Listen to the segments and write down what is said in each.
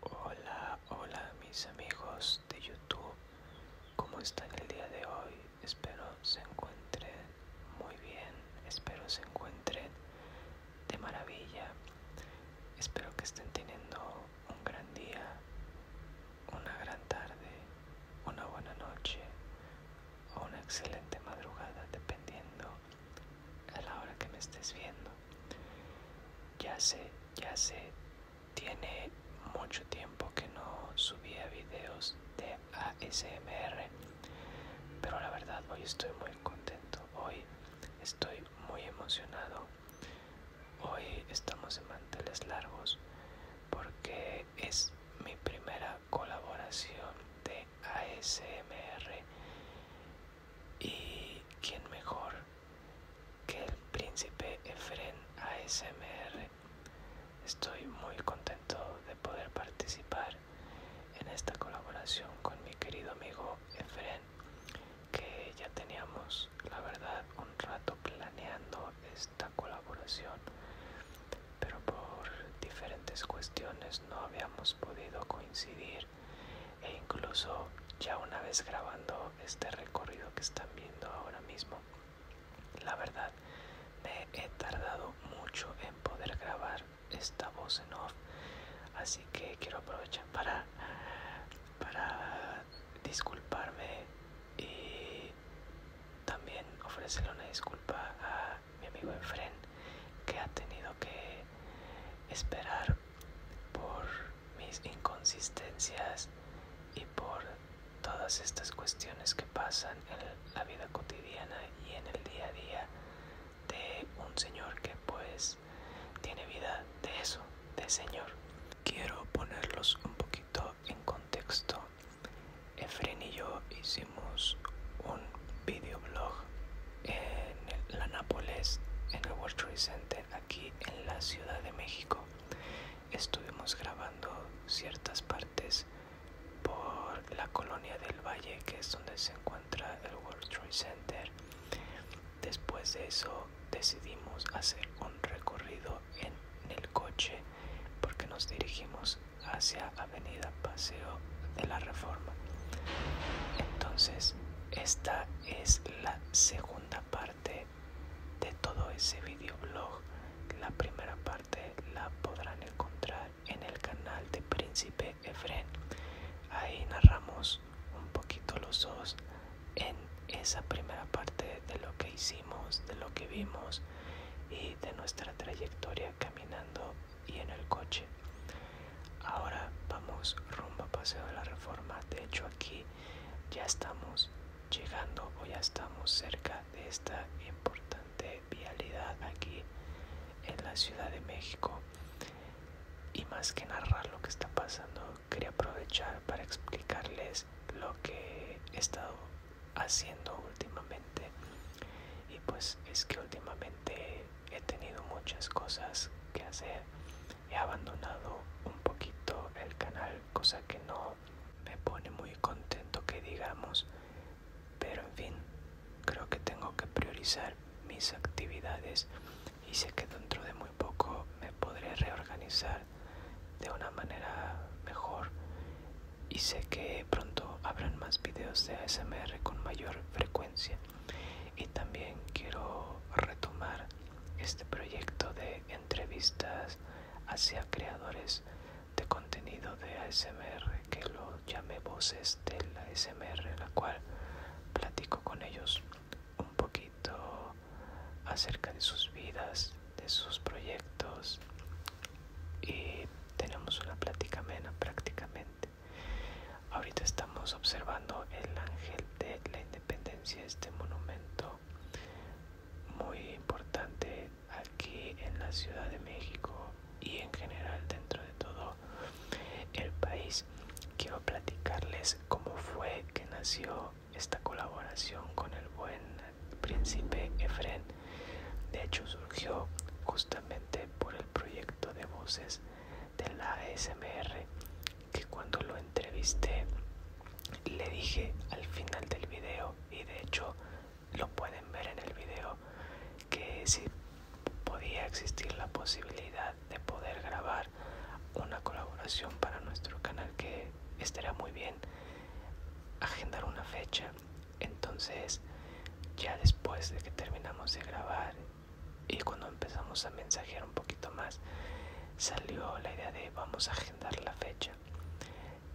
Hola, hola mis amigos de YouTube, ¿cómo están el día de hoy? Espero se encuentren muy bien, espero se encuentren de maravilla, espero que estén teniendo un gran día, una gran tarde, una buena noche o una excelente madrugada dependiendo a la hora que me estés viendo. Ya sé ya sé, tiene mucho tiempo que no subía videos de ASMR pero la verdad hoy estoy muy contento hoy estoy muy emocionado hoy estamos en manteles largos porque es mi primera colaboración de ASMR y quién mejor que el príncipe Efren ASMR. Estoy muy contento de poder participar en esta colaboración con mi querido amigo Efren, que ya teníamos, la verdad, un rato planeando esta colaboración, pero por diferentes cuestiones no habíamos podido coincidir e incluso ya una vez grabando este recorrido que están viendo ahora mismo la verdad me he tardado mucho en poder grabar esta voz en off así que quiero aprovechar para para disculparme y también ofrecerle una disculpa a mi amigo Enfren que ha tenido que esperar por mis inconsistencias y por todas estas cuestiones que pasan en la vida cotidiana y en el día a día de un señor que pues tiene vida de eso, de señor. Quiero ponerlos un poquito en contexto. Efren y yo hicimos un videoblog en la Nápoles, en el World Trade Center, aquí en la Ciudad de México. Estuvimos grabando ciertas partes por la colonia del Valle, que es donde se encuentra el World Trade Center. Después de eso decidimos hacer un recorrido en, el coche porque nos dirigimos hacia Avenida Paseo de la Reforma. Entonces, esta es la segunda parte de todo ese videoblog. La primera parte la podrán encontrar en el canal de Príncipe Efren. Ahí narramos un poquito los dos en esa primera parte de lo que hicimos, de lo que vimos y de nuestra trayectoria caminando y en el coche. Ahora vamos rumbo a Paseo de la Reforma. De hecho aquí ya estamos llegando o ya estamos cerca de esta importante vialidad aquí en la Ciudad de México. Y más que narrar lo que está pasando, quería aprovechar para explicarles lo que he estado haciendo últimamente. Y pues es que últimamente he tenido muchas cosas que hacer he abandonado un poquito el canal, cosa que no me pone muy contento que digamos, pero en fin, creo que tengo que priorizar mis actividades y sé que dentro de muy poco me podré reorganizar de una manera mejor y sé que pronto habrán más videos de ASMR con mayor frecuencia y también quiero retomar este proyecto de entrevistas hacia creadores de contenido de ASMR que lo llamé voces del ASMR, la cual platico con ellos un poquito acerca de sus vidas, de sus proyectos y tenemos una plática amena prácticamente. Ahorita estamos observando el ángel de la independencia este monumento muy importante aquí en la Ciudad de México y en general dentro de todo el país. Quiero platicarles cómo fue que nació esta colaboración con el buen príncipe Efren. De hecho surgió justamente por el proyecto de voces de la ASMR que cuando lo entrevisté le dije al final del video y de hecho lo pueden ver en el video que si podía existir la posibilidad de poder grabar una colaboración para nuestro canal que estaría muy bien agendar una fecha entonces ya después de que terminamos de grabar y cuando empezamos a mensajear un poquito más salió la idea de vamos a agendar la fecha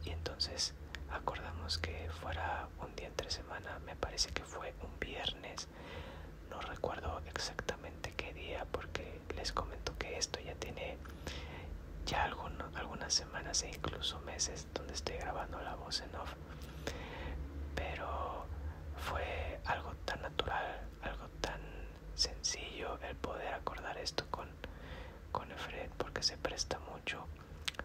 y entonces acordamos que fuera un día entre semana me parece que fue un viernes no recuerdo exactamente qué día porque les comento que esto ya tiene ya algunas semanas e incluso meses donde estoy grabando la voz en off pero fue algo tan natural algo tan sencillo el poder acordar esto con, con porque se presta mucho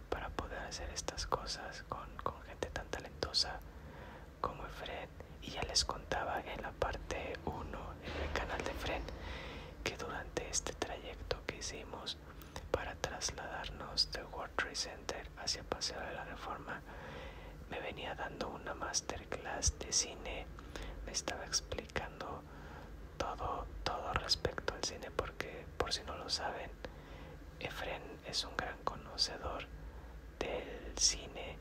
para poder hacer estas cosas con, gente tan talentosa como Efred. Y ya les contaba en la parte 1 en el canal de Fred que durante este trayecto que hicimos para trasladarnos del World Trade Center hacia Paseo de la Reforma me venía dando una máster clase de cine me estaba explicando todo todo respecto al cine porque por si no lo saben Efren es un gran conocedor del cine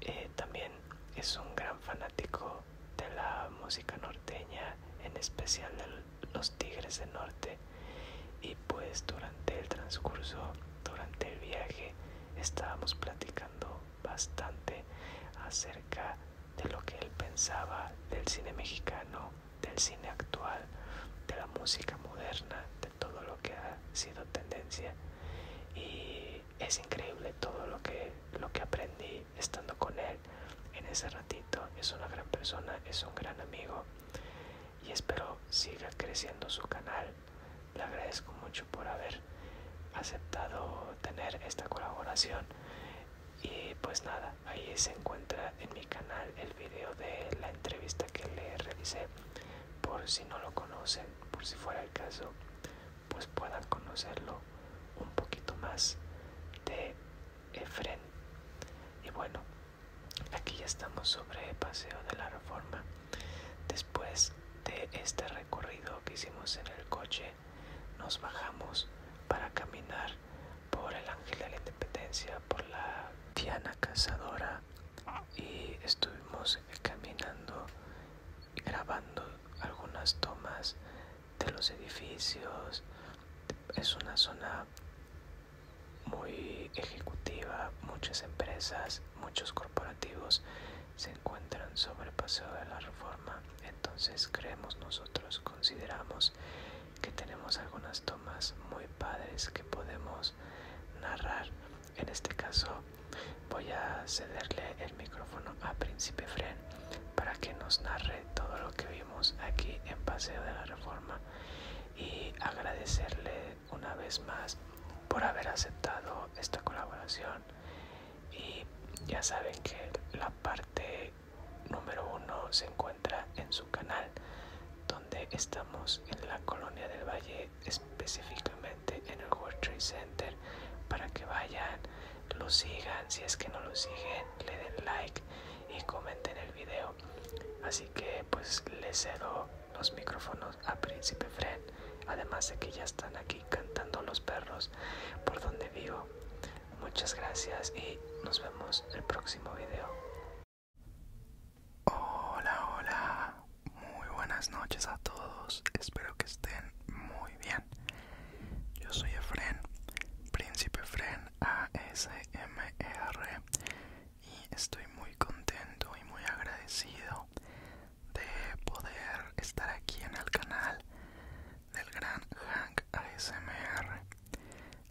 eh, también es un gran fanático de la música norteña en especial de los tigres de norte y pues durante el transcurso durante el viaje estábamos platicando bastante acerca de lo que él pensaba del cine mexicano, del cine actual, de la música moderna, de todo lo que ha sido tendencia. Y es increíble todo lo que, lo que aprendí estando con él en ese ratito. Es una gran persona, es un gran amigo y espero siga creciendo su canal le agradezco mucho por haber aceptado tener esta colaboración. Y pues nada, ahí se encuentra en mi canal el video de la entrevista que le realicé. Por si no lo conocen, por si fuera el caso, pues puedan conocerlo un poquito más de Efren. Y bueno, aquí ya estamos sobre Paseo de la Reforma. Después de este recorrido que hicimos en el coche, nos bajamos para caminar por el Ángel de la Independencia, por la Diana Cazadora y estuvimos caminando y grabando algunas tomas de los edificios. Es una zona muy ejecutiva, muchas empresas, muchos corporativos se encuentran sobre el paseo de la reforma entonces creemos nosotros consideramos que tenemos algunas tomas muy padres que podemos narrar en este caso voy a cederle el micrófono a príncipe fren para que nos narre todo lo que vimos aquí en paseo de la reforma y agradecerle una vez más por haber aceptado esta colaboración y ya saben que la parte número uno se encuentra en su canal donde estamos en la colonia del valle específicamente en el World Trade Center para que vayan lo sigan si es que no lo siguen le den like y comenten el video así que pues les cedo los micrófonos a príncipe fred además de que ya están aquí cantando los perros por donde vivo. Muchas gracias y nos vemos en el próximo video. Hola, hola, muy buenas noches a todos, espero que estén muy bien. Yo soy Efren, Príncipe Efren ASMR, e y estoy muy contento y muy agradecido de poder estar aquí en el canal del gran Hank ASMR,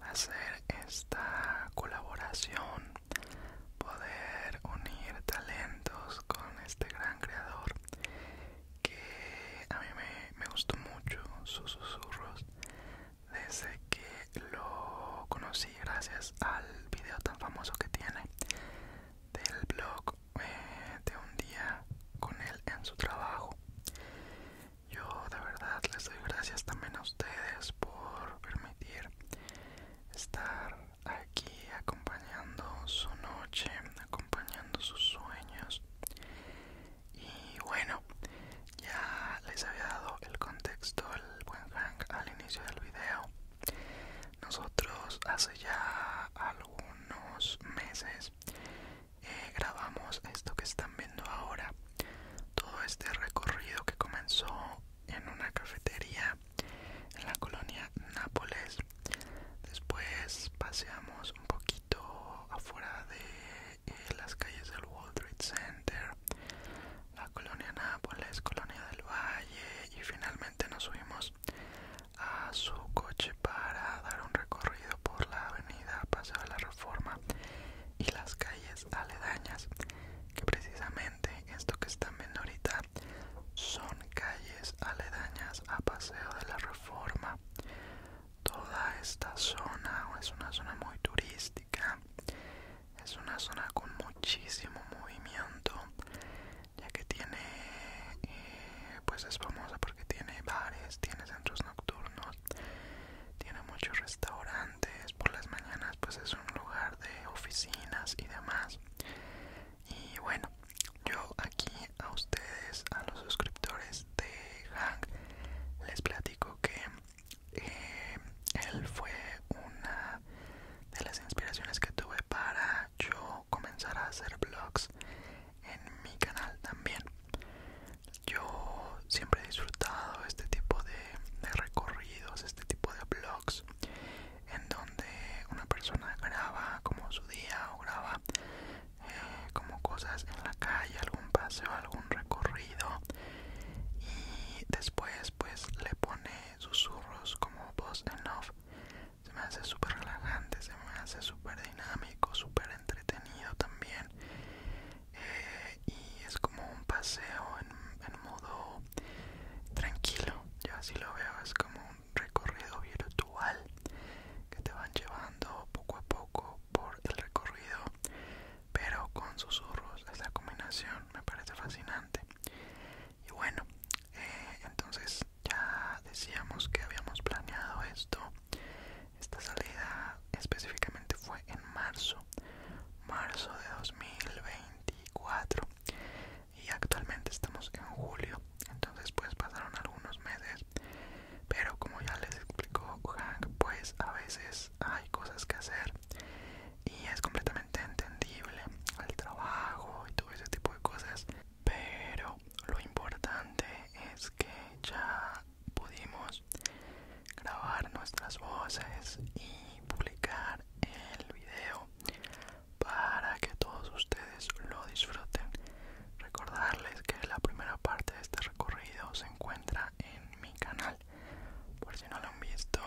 hacer esta colaboración, poder unir talentos con este gran creador que a mí me, me gustó mucho sus susurros desde que lo conocí gracias al video tan famoso que tiene del blog de un día con él en su trabajo. Yo de verdad les doy gracias también a ustedes por permitir estar aquí acompañando su noche, acompañando sus sueños. Y bueno, ya les había dado el contexto, el buen hang al inicio del video. Nosotros hace ya algunos meses eh, grabamos esto que están viendo ahora, todo este recorrido que comenzó en una cafetería en la colonia Nápoles. Después paseamos un poquito afuera de eh, las calles del Wall Street Center, la colonia Nápoles, colonia del Valle y finalmente nos subimos a su coche para dar un recorrido por la avenida Paseo de la Reforma y las calles aledañas, que precisamente esto que están viendo ahorita son calles aledañas a Paseo de la Reforma. Toda esta zona es una zona muy turística, es una zona con muchísimo movimiento ya que tiene eh, pues es famosa porque tiene bares tiene centros nocturnos tiene muchos restaurantes por las mañanas pues es un lugar de oficinas y demás y bueno yo aquí a ustedes a los suscriptores de Hank les platico que eh, él fue una de las inspiraciones que tuve para yo comenzar a hacer vlogs en mi canal también yo siempre he disfrutado este tipo de, recorridos este tipo de blogs en donde una persona graba como su día o graba eh, como cosas en la calle algún paseo algún recorrido y después pues le pone susurros como voz en off se me hace súper relajante, se me hace súper dinámico, súper entretenido también. Eh, y es como un paseo en, modo tranquilo, yo así lo veo, es como un recorrido virtual que te van llevando poco a poco por el recorrido, pero con susurros. Esta combinación me parece fascinante. Y bueno, eh, entonces ya decíamos que habíamos planeado esto esta salida específicamente fue en marzo marzo de 2024 y actualmente estamos en julio entonces pues pasaron algunos meses pero como ya les explicó Hank pues a veces hay cosas que hacer y es completamente entendible el trabajo y todo ese tipo de cosas pero lo importante es que ya pudimos grabar nuestras voces y publicar el video para que todos ustedes lo disfruten recordarles que la primera parte de este recorrido se encuentra en mi canal por si no lo han visto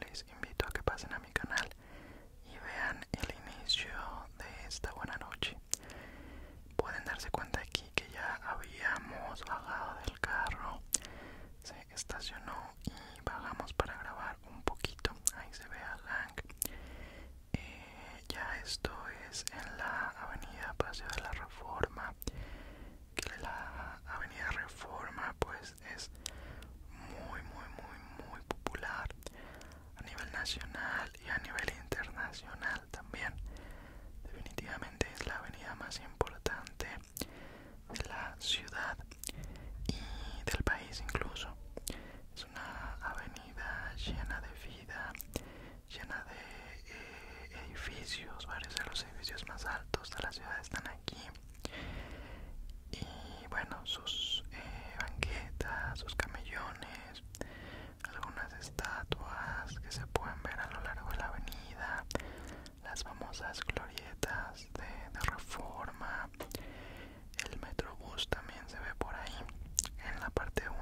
les invito a que pasen a mi canal y vean el inicio de esta buena noche pueden darse cuenta aquí que ya habíamos bajado del carro se estacionó y bajamos para grabar un poquito ahí se ve a Lang eh, ya esto es en la avenida Paseo de la Reforma que la avenida Reforma pues es muy muy muy muy popular a nivel nacional y a nivel internacional también. Definitivamente es la avenida más importante de la ciudad y del país incluso. Es una avenida llena de vida, llena de eh, edificios, varios de los edificios más altos de la ciudad están aquí. Y bueno, sus eh, banquetas, sus camellones, algunas estatuas que se pueden ver a lo largo de la avenida, las famosas glorietas de, reforma, el metrobús también se ve por ahí. En la parte 1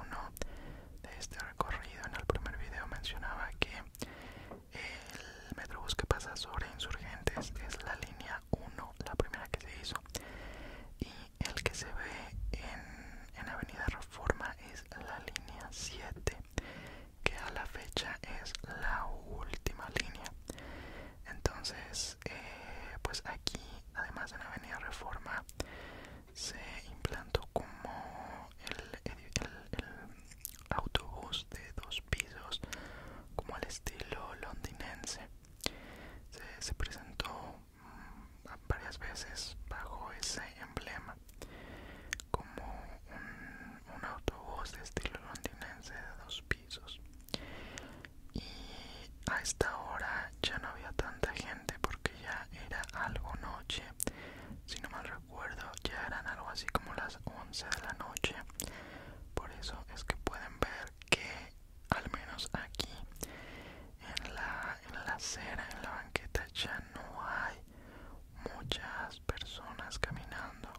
de este recorrido, en el primer video mencionaba que el metrobús que pasa sobre insurgentes es la línea 1, la primera que se hizo. Y el que se ve en, Avenida Reforma es la línea 7, que a la fecha es la última línea. Entonces, eh, pues aquí, además en Avenida Reforma, se implantó como el, autobús de dos pisos, como el estilo londinense. se presentó varias veces bajo ese emblema como un, autobús de estilo londinense de dos pisos y a esta hora ya no había tanta gente porque ya era algo noche si no mal recuerdo ya eran algo así como las 11 de la noche por eso es que pueden ver que al menos aquí en la, acera, en la banqueta ya no hay muchas personas caminando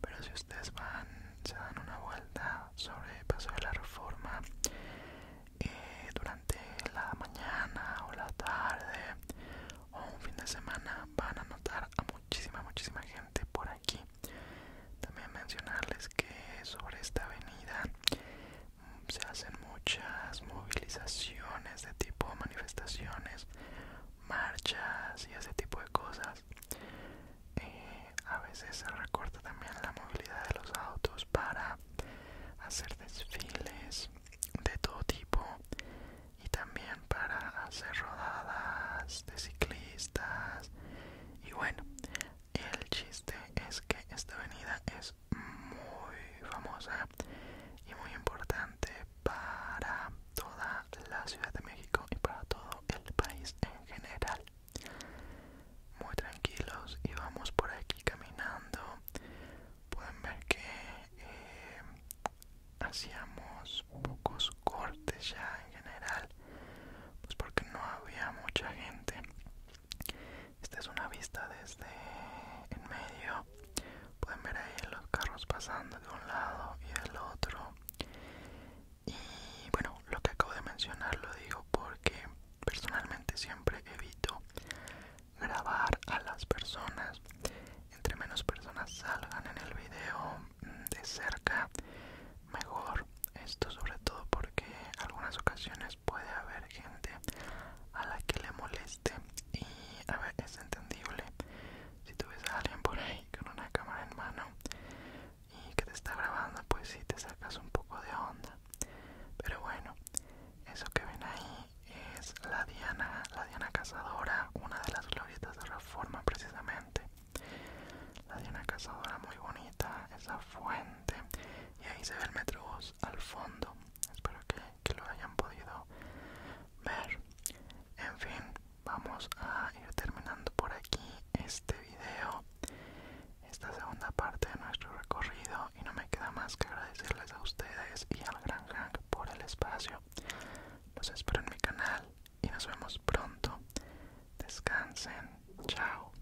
pero si ustedes van, se dan una vuelta sobre el paso de la reforma eh, durante la mañana o la tarde o un fin de semana van a notar a muchísima, muchísima gente por aquí también mencionarles que sobre esta avenida se hacen muchas movilizaciones de tipo manifestaciones, marchas y ese tipo de cosas. Eh, a veces se recorta también la movilidad de los autos para hacer desfiles de todo tipo y también para hacer rodadas de ciclistas y bueno el chiste es que esta avenida es muy famosa y muy importante para toda la Ciudad de México y para todo el país en general. Muy tranquilos y vamos por aquí caminando. Pueden ver que eh, hacíamos pocos cortes ya en general, pues porque no había mucha gente. Esta es una vista desde en medio. Pueden ver ahí los carros pasando de un lado y del otro. Y bueno, lo que acabo de mencionar lo digo porque personalmente siempre evito grabar a las personas. Entre menos personas salgan en el video mm, de cerca, mejor. Esto sobre todo porque algunas ocasiones puede haber gente a la que le moleste y a ver, es entendible si tú ves a alguien por ahí con una cámara en mano y que te está grabando pues si sí te sacas un poco de onda pero bueno eso que ven ahí es la diana la diana cazadora una de las glorietas de reforma precisamente la diana cazadora muy bonita esa fuente y ahí se ve el metrobús al fondo espero que, lo hayan podido ver en fin vamos a ir terminando por aquí este video esta segunda parte de nuestro recorrido y no me queda más que agradecerles a ustedes y al gran Hang por el espacio los espero en mi canal y nos vemos pronto descansen chao